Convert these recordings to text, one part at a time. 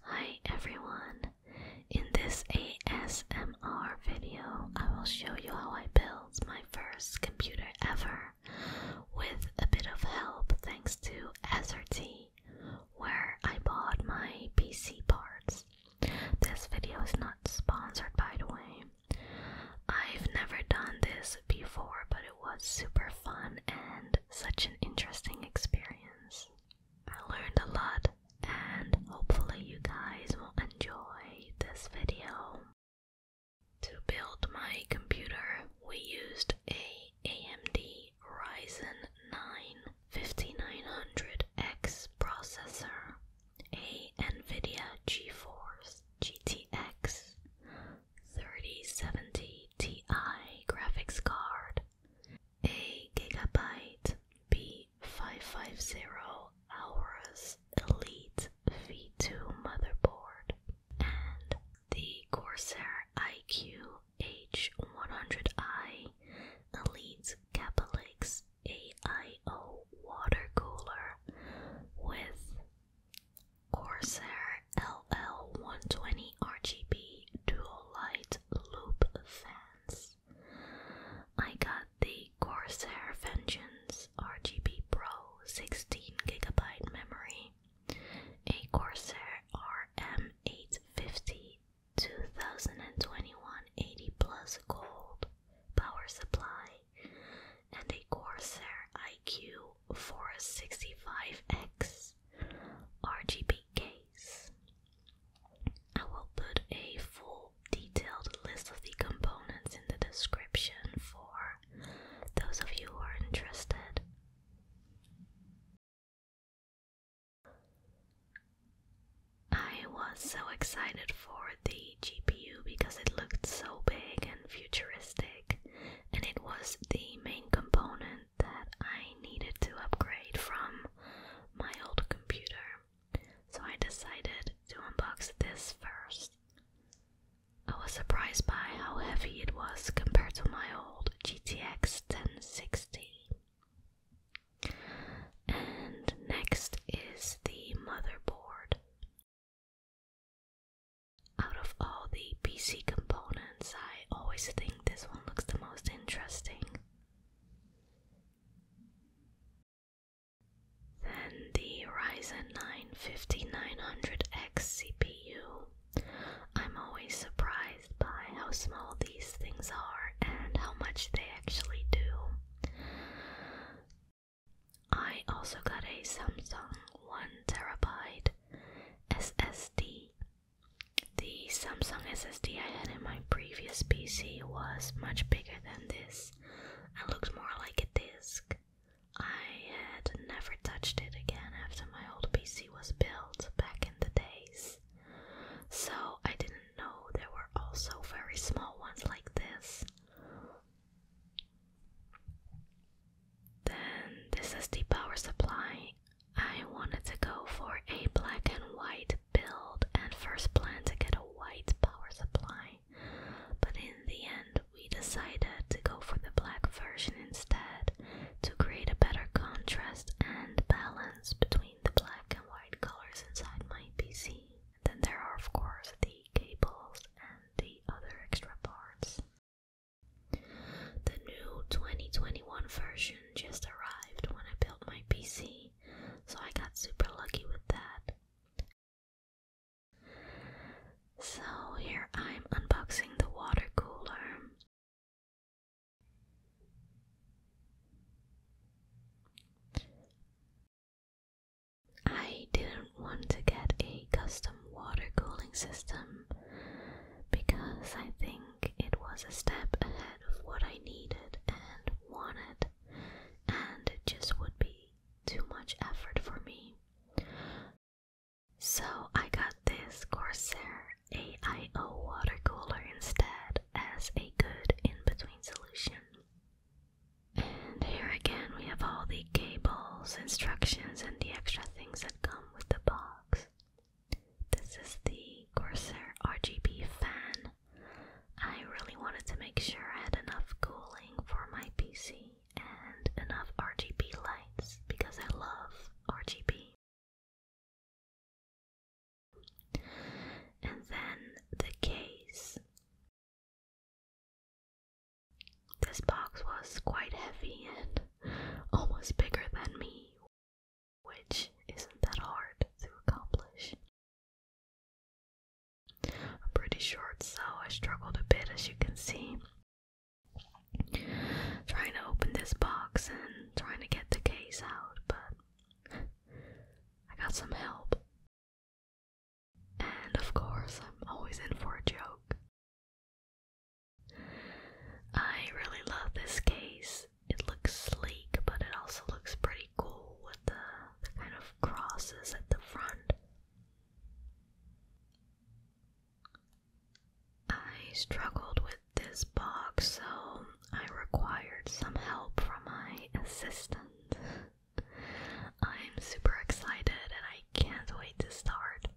Hi everyone! In this ASMR video, I will show you how I built my first computer ever with a bit of help thanks to SRT, where I bought my PC parts. This video is not sponsored by the way. I've never done this before, but it was super fun and such an interesting experience. I learned a lot and hopefully you guys will enjoy this video. To build my computer, we used a AMD Ryzen 9 5900X processor, a NVIDIA GeForce GTX 3070 Ti graphics card, a gigabyte B550 Aorus Elite V2 motherboard and the Corsair iQH 100 i Elite Capelix AIO water cooler with Corsair RLL120 RGB dual light loop fans. I got the Corsair Vengeance RGB Pro 16GB memory, a Corsair RM850 2021 80 Plus Gold power supply, and a Corsair IQ for a sixty-five x RGB case. I will put a full detailed list of the components in the description for those of you who are interested. I was so excited for the GPU because it looked so big and futuristic, and it was the main component that I needed to upgrade from my old computer, so I decided to unbox this first. I was surprised by how heavy it was compared to my old GTX 1060. And next is the motherboard. Out of all the PC components, I always think this one looks the most interesting. Then the Ryzen 9 5900X CPU. I'm always surprised by how small these things are and how much they actually do. I also got a Samsung one Terabyte. SSD. The Samsung SSD I had in my previous PC was much bigger than this and looked more like a disk. I had never touched it again after my old PC was built back in the days, so I didn't know there were also very small ones like this. Then this is the power supply. I wanted to go for a black and white build and first plan to get a white power supply. But in the end, we decided to go for the black version instead to create a better contrast and balance between the black and white colors inside my PC. And then there are, of course, the cables and the other extra parts. The new 2021 version just arrived when I built my PC, so I got super lucky with that. So here I'm unboxing the water cooler. I didn't don't to get a custom water cooling system because I think it was a step ahead of what I needed and wanted, and it just would be too much effort for me. So I got this Corsair AIO water cooler instead as a good in between solution. And here again we have all the cables, instructions, and the extra things that come with the box. This is the Corsair RGB fan. I really wanted to make sure I had enough cooling for my PC and enough RGB lights because I love RGB. And then the case. This box was quite heavy and almost bigger than me, which isn't that hard to accomplish. i pretty short, so I struggled a bit as you can see. Trying to open this box and trying to get the case out, but I got some help. And of course, I'm always in for a joke. I really love this case. It looks sleek, but it also looks pretty cool with the, kind of crosses at the front. I struggled with this box, so I required some help from my assistant. I'm super excited and I can't wait to start.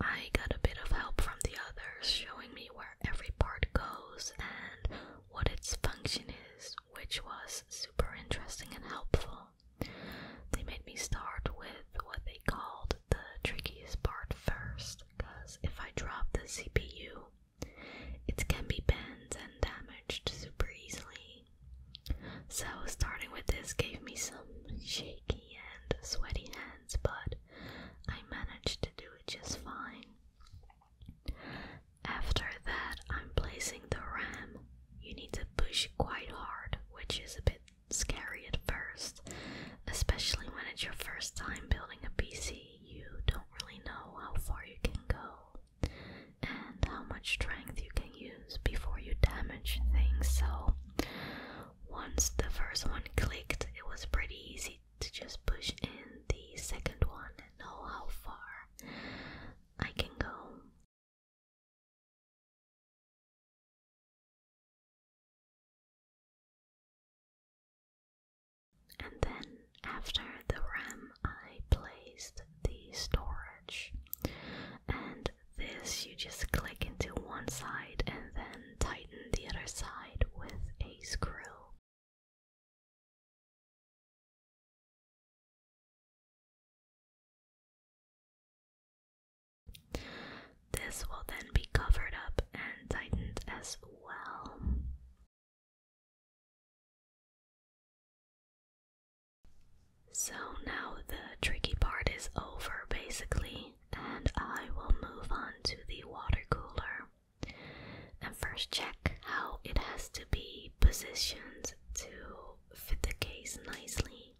I got a bit of help from the others showing me where every part goes and what its function is, which was super interesting and helpful. They made me start with what they called the trickiest part first, because if I drop the CPU, it can be bent and damaged super easily, so, starting with this gave me some shaky and sweaty hands, but I managed to do it just fine. After that, I'm placing the ram. You need to push quite hard, which is a bit scary at first, especially when it's your first time building a PC. You don't really know how far you can go and how much strength you can use before you damage things. So, once the first one clicked, it was pretty easy to just push in the second one and know how far I can go. And then, after the ram I placed the storage. And this you just click into one side and then tighten the other side with a screw. This will then be covered up and tightened as well. So now the tricky part is over basically, and I will move on to the water cooler and first check how it has to be positioned to fit the case nicely.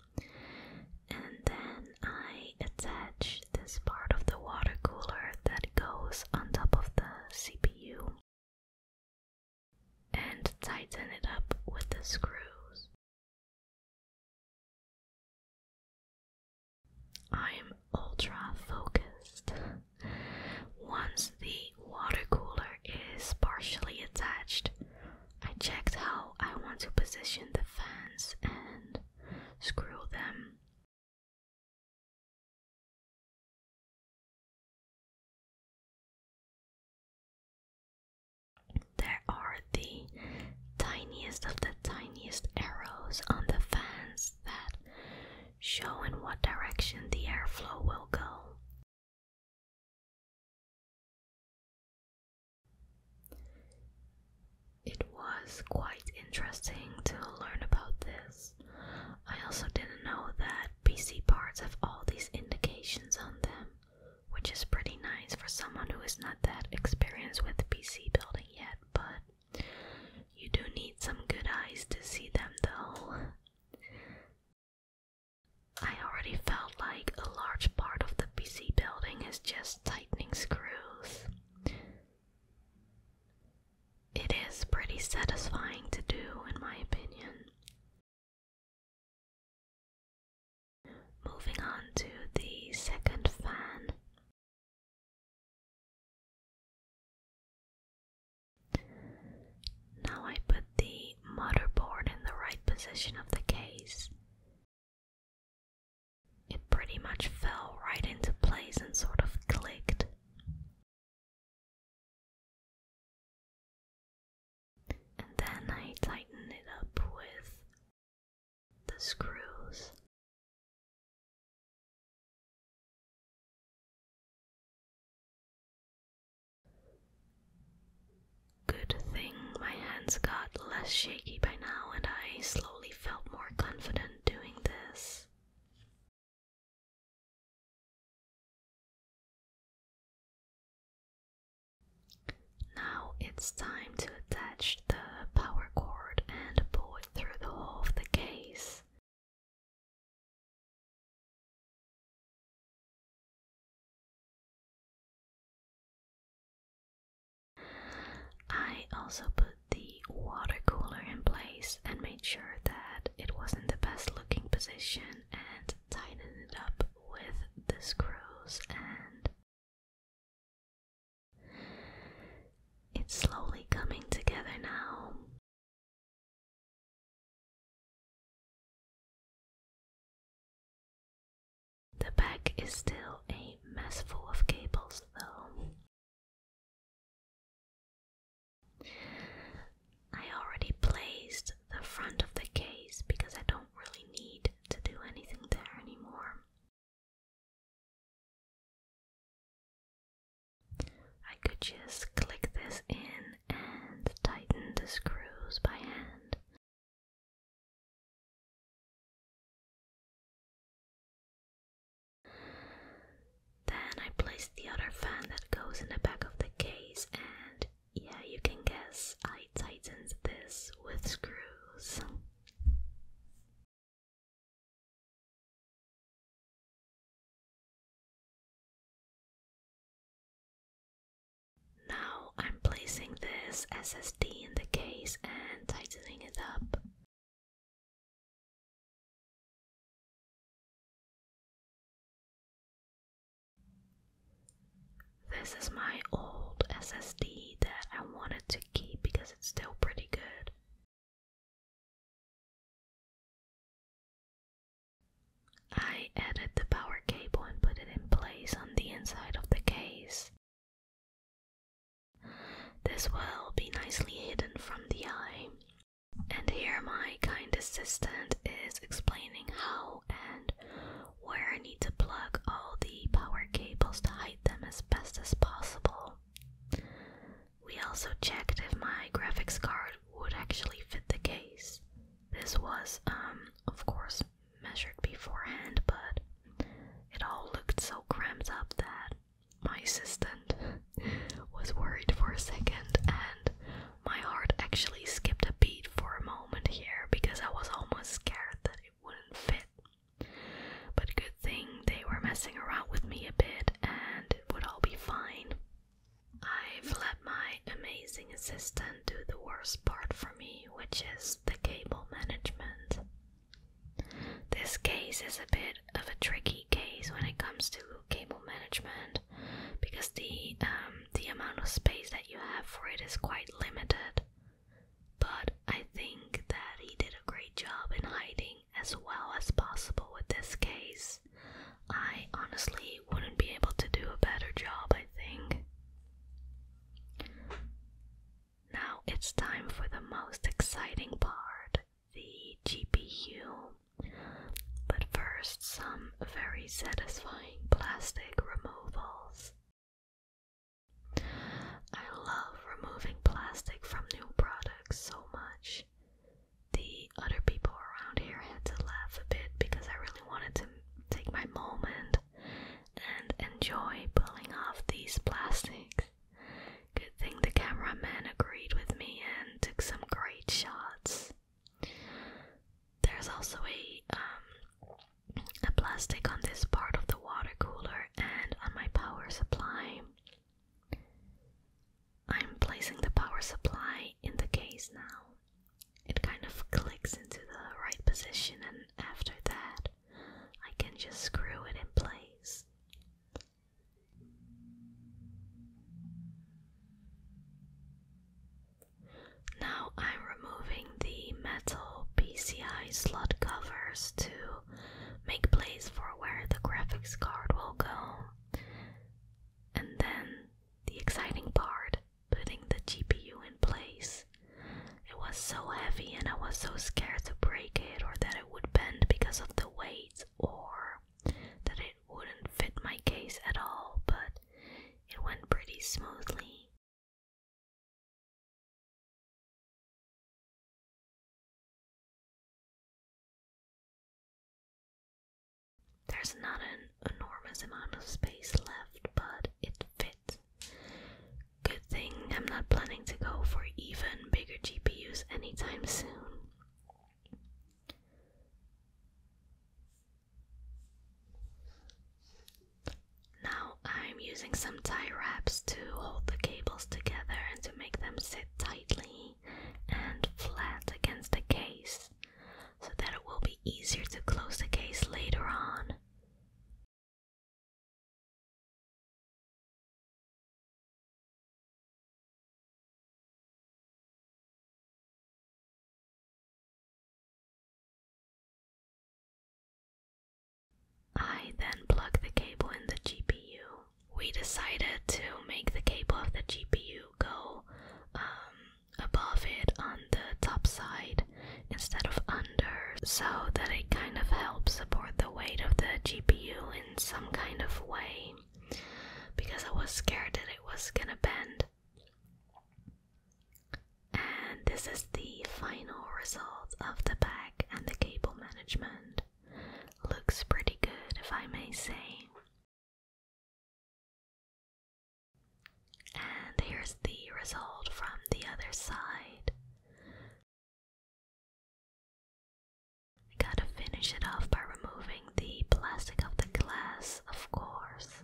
And then I attach this part of the water cooler that goes on top of the CPU and tighten it up with the screws. I am ultra focused. Once the water cooler is partially attached, I checked how I want to position the fans and screw them. There are the tiniest of the tiniest arrows on the fans that show in what direction the airflow will go. It was quite interesting to learn about this. I also didn't know that PC parts have all these indications on them, which is pretty nice for someone who is not that experienced with PC building yet, but you do need some good eyes to see them though. I already felt like a large part of the PC building is just tightening screws. It is pretty satisfying to do, in my opinion. Moving on to the second fan. Now I put the motherboard in the right position of the case. It pretty much fell right into place and sort of clicked. And then I tighten it up with the screws. Good thing my hands got less shaky by now, and I slowly felt more confident doing this. Now it's time to attach the power cord and pull it through the hole of the case. I also put the water cooler in place and made sure that it was in the best looking position and tightened it up with the screws and it's slowly coming together now. The back is still a mess full of cables, though. I already placed the front of the case because I don't really need to do anything there anymore. I could just click this in and tighten the screws by hand. Then I place the other fan that goes in the back of the case, and yeah, you can guess I tightened this with screws. Now I'm placing this SSD in the case and tightening it up. This is my old SSD that I wanted to keep because it's still pretty good. I added the power cable and put it in place on the inside of the case. This will be nicely hidden from the eye. And here my kind assistant is explaining how and where I need to plug all the power cables to hide them as best as possible. We also checked if my graphics card would actually fit the case. This was, um, of course, measured beforehand, but it all looked so cramped up that my assistant was worried for a second, and my heart actually skipped a beat for a moment here because I was almost scared that it wouldn't fit. But good thing they were messing around with me a bit and it would all be fine. I've let my amazing assistant do the worst part for me, which is the cable management. This case is a bit of a tricky case when it comes to cable management because the um, the amount of space that you have for it is quite limited. But I think that he did a great job in hiding as well as possible with this case. I honestly wouldn't be able to do a better job, I think. Now it's time for the most exciting part the GPU. But first, some very satisfying plastic removals. I love removing plastic from new products so much. The other people around here had to laugh a bit because I really wanted to take my moment and enjoy pulling off these plastics. Good thing the cameraman agreed with me and took some great shots. There's also a um, a plastic on this part of the water cooler and on my power supply. I'm placing the power supply in the case now. It kind of clicks into the right position, and after that, I can just screw it in place. Now I'm removing the metal PCI slot covers to make place for where the graphics card will go. And then the exciting part putting the GPU in place it was so heavy and I was so scared to break it or that it would bend because of the weight or that it wouldn't fit my case at all, but it went pretty smoothly. There's not an enormous amount of space left, but it fit Good thing I'm not planning to go for even bigger GPUs anytime soon. Now I'm using some tie wraps to hold the cables together and to make them sit tightly and flat against the case so that it will be easier to close the case later on. I then plug the cable in the GPU. We decided to make the cable of the GPU go um, above it on the top side instead of under, so that it kind of helps support the weight of the GPU in some kind of way because I was scared that it was gonna bend. And this is the final result of the pack and the cable management. Looks pretty good, if I may say. And here's the result from the other side. gotta finish it off by removing the plastic of the glass, of course.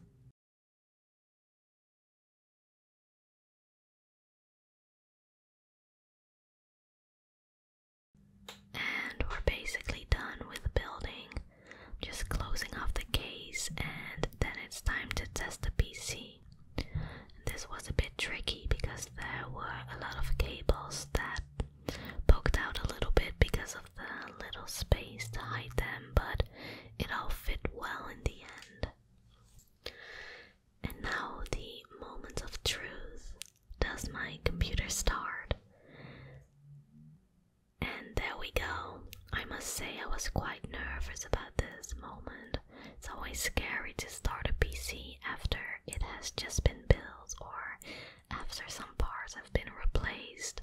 And we're basically done with building. just closing off the case, and then it's time to test the PC way. This was a bit tricky because there were a lot of cables that poked out a little bit because of the little space to hide them, but it all fit well in the end. And now the moment of truth. Does my computer start? And there we go. I must say I was quite nervous about this moment. It's always scary to start a PC after it has just been built or after some parts have been replaced.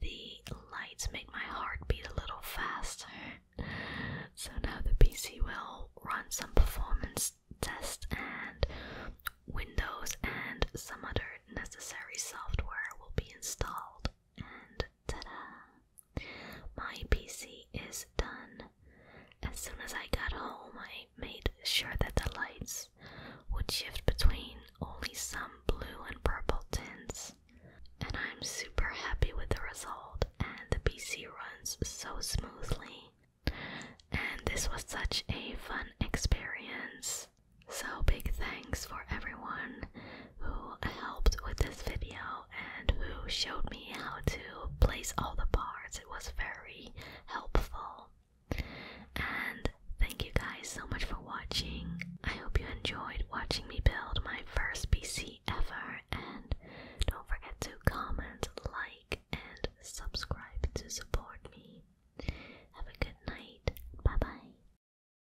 The lights make my heart beat a little faster. So now the PC will run some performance tests and Windows and some other necessary software will be installed. And ta da! My PC is done. As soon as I got home, I made sure that the lights would shift between only some blue and purple tints. And I'm super happy with the result, and the PC runs so smoothly. And this was such a fun experience. So, big thanks for everyone who helped with this video and who showed me how to place all the parts. It was very helpful. And thank you guys so much for watching. I hope you enjoyed watching me build my first PC ever. And don't forget to comment, like, and subscribe to support me. Have a good night. Bye bye.